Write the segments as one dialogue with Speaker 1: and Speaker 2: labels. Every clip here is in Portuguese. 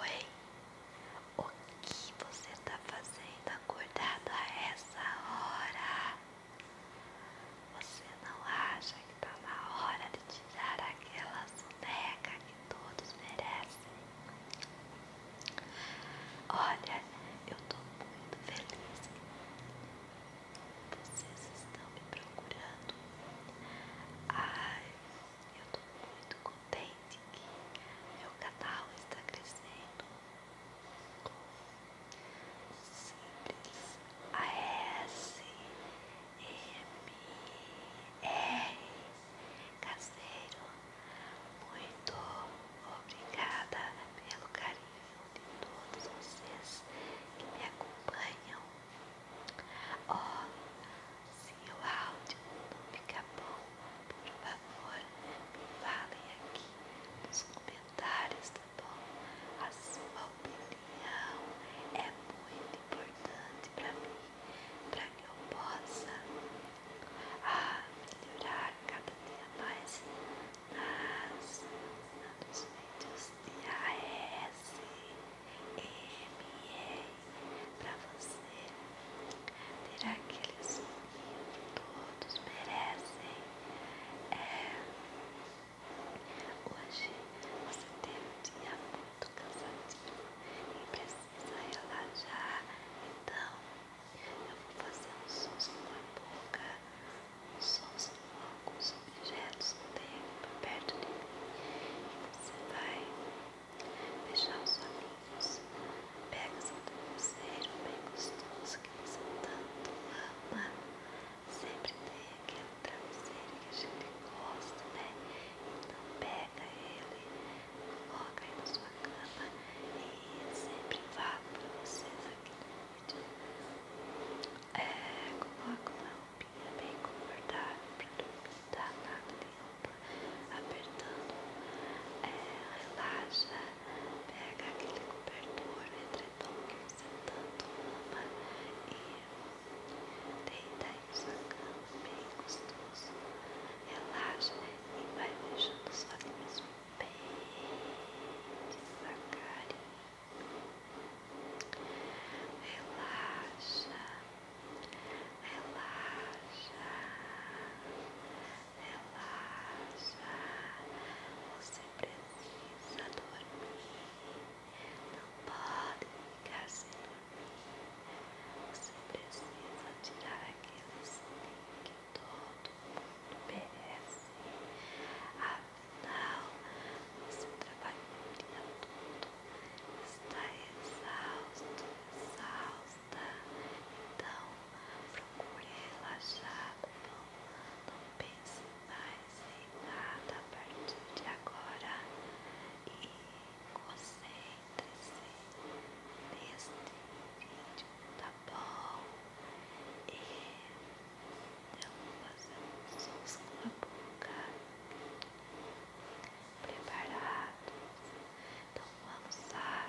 Speaker 1: Oi, o que você tá fazendo acordado a essa hora? Você não acha que tá na hora de tirar aquela soneca que todos merecem? Olha, eu tô muito feliz. Vocês estão me procurando. Ai, eu estou muito contente que meu canal está crescendo com simples ASMR caseiro. Muito obrigada pelo carinho de todos vocês que me acompanham. Ó, se o áudio não fica bom, por favor, me falem aqui nos comentários, tá bom? A sua opinião é muito importante para mim, para que eu possa ah, melhorar cada dia mais nas, nos vídeos de AES para você ter aquele sonho que todos merecem. É, hoje você teve um dia muito cansativo e precisa relaxar, então eu vou fazer um sonho com a boca, um sonho com alguns objetos que tem perto de mim. Você vai fechar os olhinhos, pega seu travesseiro bem gostoso que você tanto ama, sempre tem aquele travesseiro que a gente gosta, né? Então pega ele, coloca aí na sua cama e sempre vá pra vocês aqui no vídeo. É, coloco lá um dormia bem confortável para dormir, tá? Nada de apertando. É, relaxa, pega aquele cobertor, edredom que você tanto ama e deita aí na sua bem gostoso. Relaxa e vai fechando os olhinhos bem devagarinho. Relaxa. Relaxa, relaxa. Você precisa dormir. Não pode ficar sem dormir. Você precisa tirar aquele soninho que todo mundo merece. Afinal, ah, você trabalhou o é todo está exausto, exausta. Então procure relaxar, não, pense mais em nada a partir de agora e concentre-se neste vídeo, tá bom? E eu vou fazer um susto na boca preparados. Então vamos lá.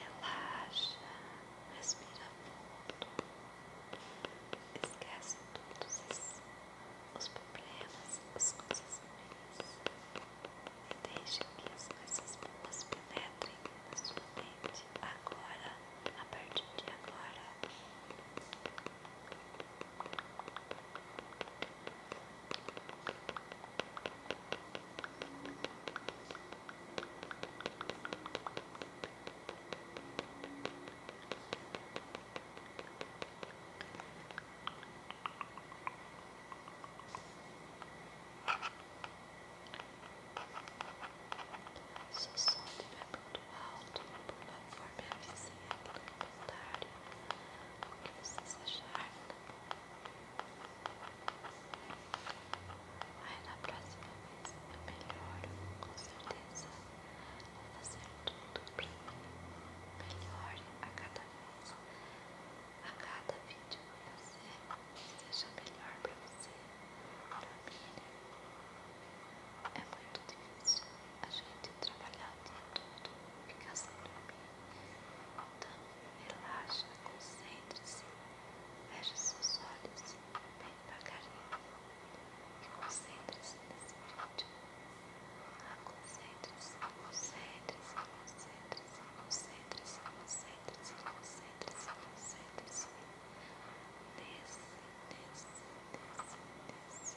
Speaker 1: Relaxa, respira fundo, esquece todos os, os problemas, os acontecimentos e deixe que as coisas boas penetrem na sua mente agora, a partir de agora. Se o som estiver muito alto, por favor me avisem aqui no o que vocês acharam. Aí na próxima vez eu melhoro, com certeza. Vou fazer tudo pra que melhore a cada minuto A cada vídeo que eu seja melhor pra você, pra mim. É muito difícil a gente trabalhar o dia todo, ficar sem dormir. Então, relaxa, concentre-se, feche seus olhos bem devagarinho e concentre-se nesse vídeo. Ah, concentre-se, concentre-se, concentre-se, concentre-se, concentre-se, concentre-se, concentre-se desce, desce nesse, nesse,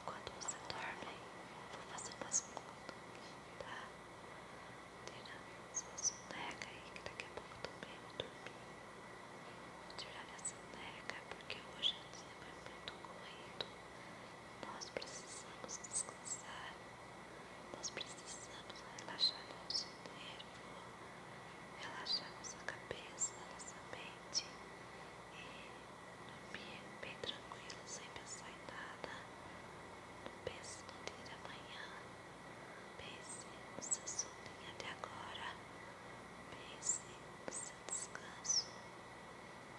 Speaker 1: Enquanto você dorme, vou fazer umas contas, tá? Tirar sua soneca aí, que daqui a pouco também vou dormir. Vou tirar minha soneca, porque hoje o é dia foi muito corrido. Nós precisamos descansar. Nós precisamos relaxar nosso nervo, relaxar nossa cabeça, nossa mente e Dormir bem tranquilo, sem pensar em nada. pense no dia de amanhã. Pense no seu soninho até agora. Pense no seu descanso.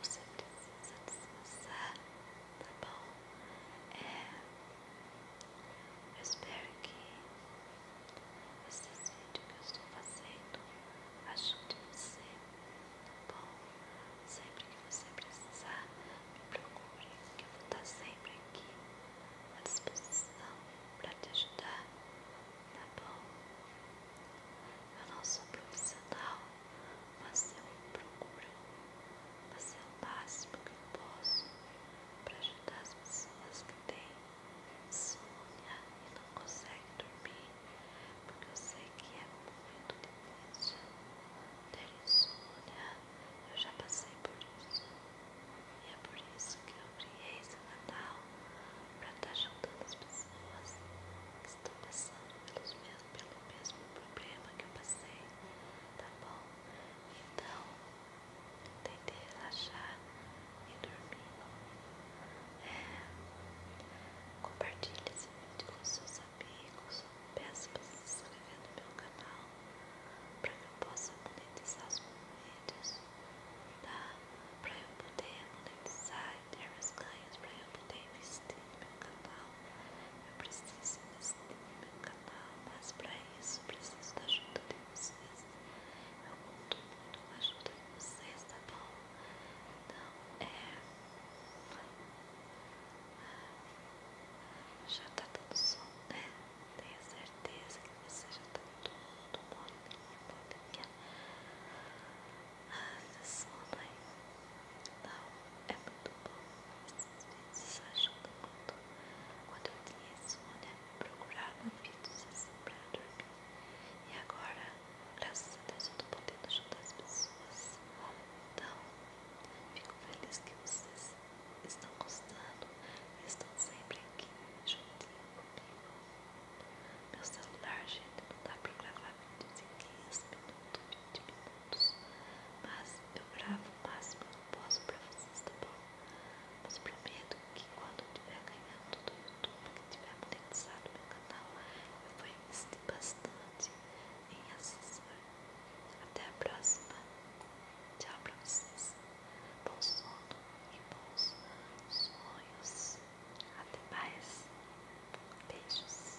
Speaker 1: Você precisa descansar, tá bom? É, eu espero que esses vídeos que eu estou fazendo ajude você tá bom? Sempre que você precisar, me procure, que eu vou estar sempre aqui à disposição para te ajudar, tá bom? Eu não sou profissional, mas eu procuro fazer o máximo que eu posso para ajudar as pessoas que têm sonha e não conseguem dormir porque eu sei que é muito difícil ter insônia. Eu já passei por isso. E é por isso que eu criei esse canal para estar tá ajudando as pessoas que estão passando pelos pelo mesmo problema que eu passei, tá bom? Então, tentei relaxar e dormir compartilhe esse vídeo com seus amigos. Peço para se inscrever no meu canal para que eu possa monetizar os meus vídeos, tá? Para eu poder monetizar e ter meus ganhos, para eu poder investir no meu canal. Eu preciso investir no meu canal, mas para isso preciso da ajuda de vocês. Eu conto muito com a ajuda de vocês, tá bom? Então, é... Já tá tudo solto, né? Tenho certeza que você já tá tudo molinho, molinha. Né? Ah, esse sono aí. Não, é muito bom. Esses vídeos ajudam muito. Quando eu tinha sono, eu procurava vídeos assim pra dormir. E agora, graças a Deus, eu tô podendo ajudar as pessoas. Então, fico feliz que vocês estão gostando, estão sempre aqui juntinho comigo. Meu celular, gente, não dá para gravar vídeos em 15 minutos, 20 minutos. Mas eu gravo o máximo que eu posso para vocês, tá bom? Mas prometo que quando eu tiver ganhando do YouTube, que tiver monetizado meu canal, eu vou bastante em assessor. Até a próxima. Tchau pra vocês. Bom sono e bons sonhos. Até mais. Beijos.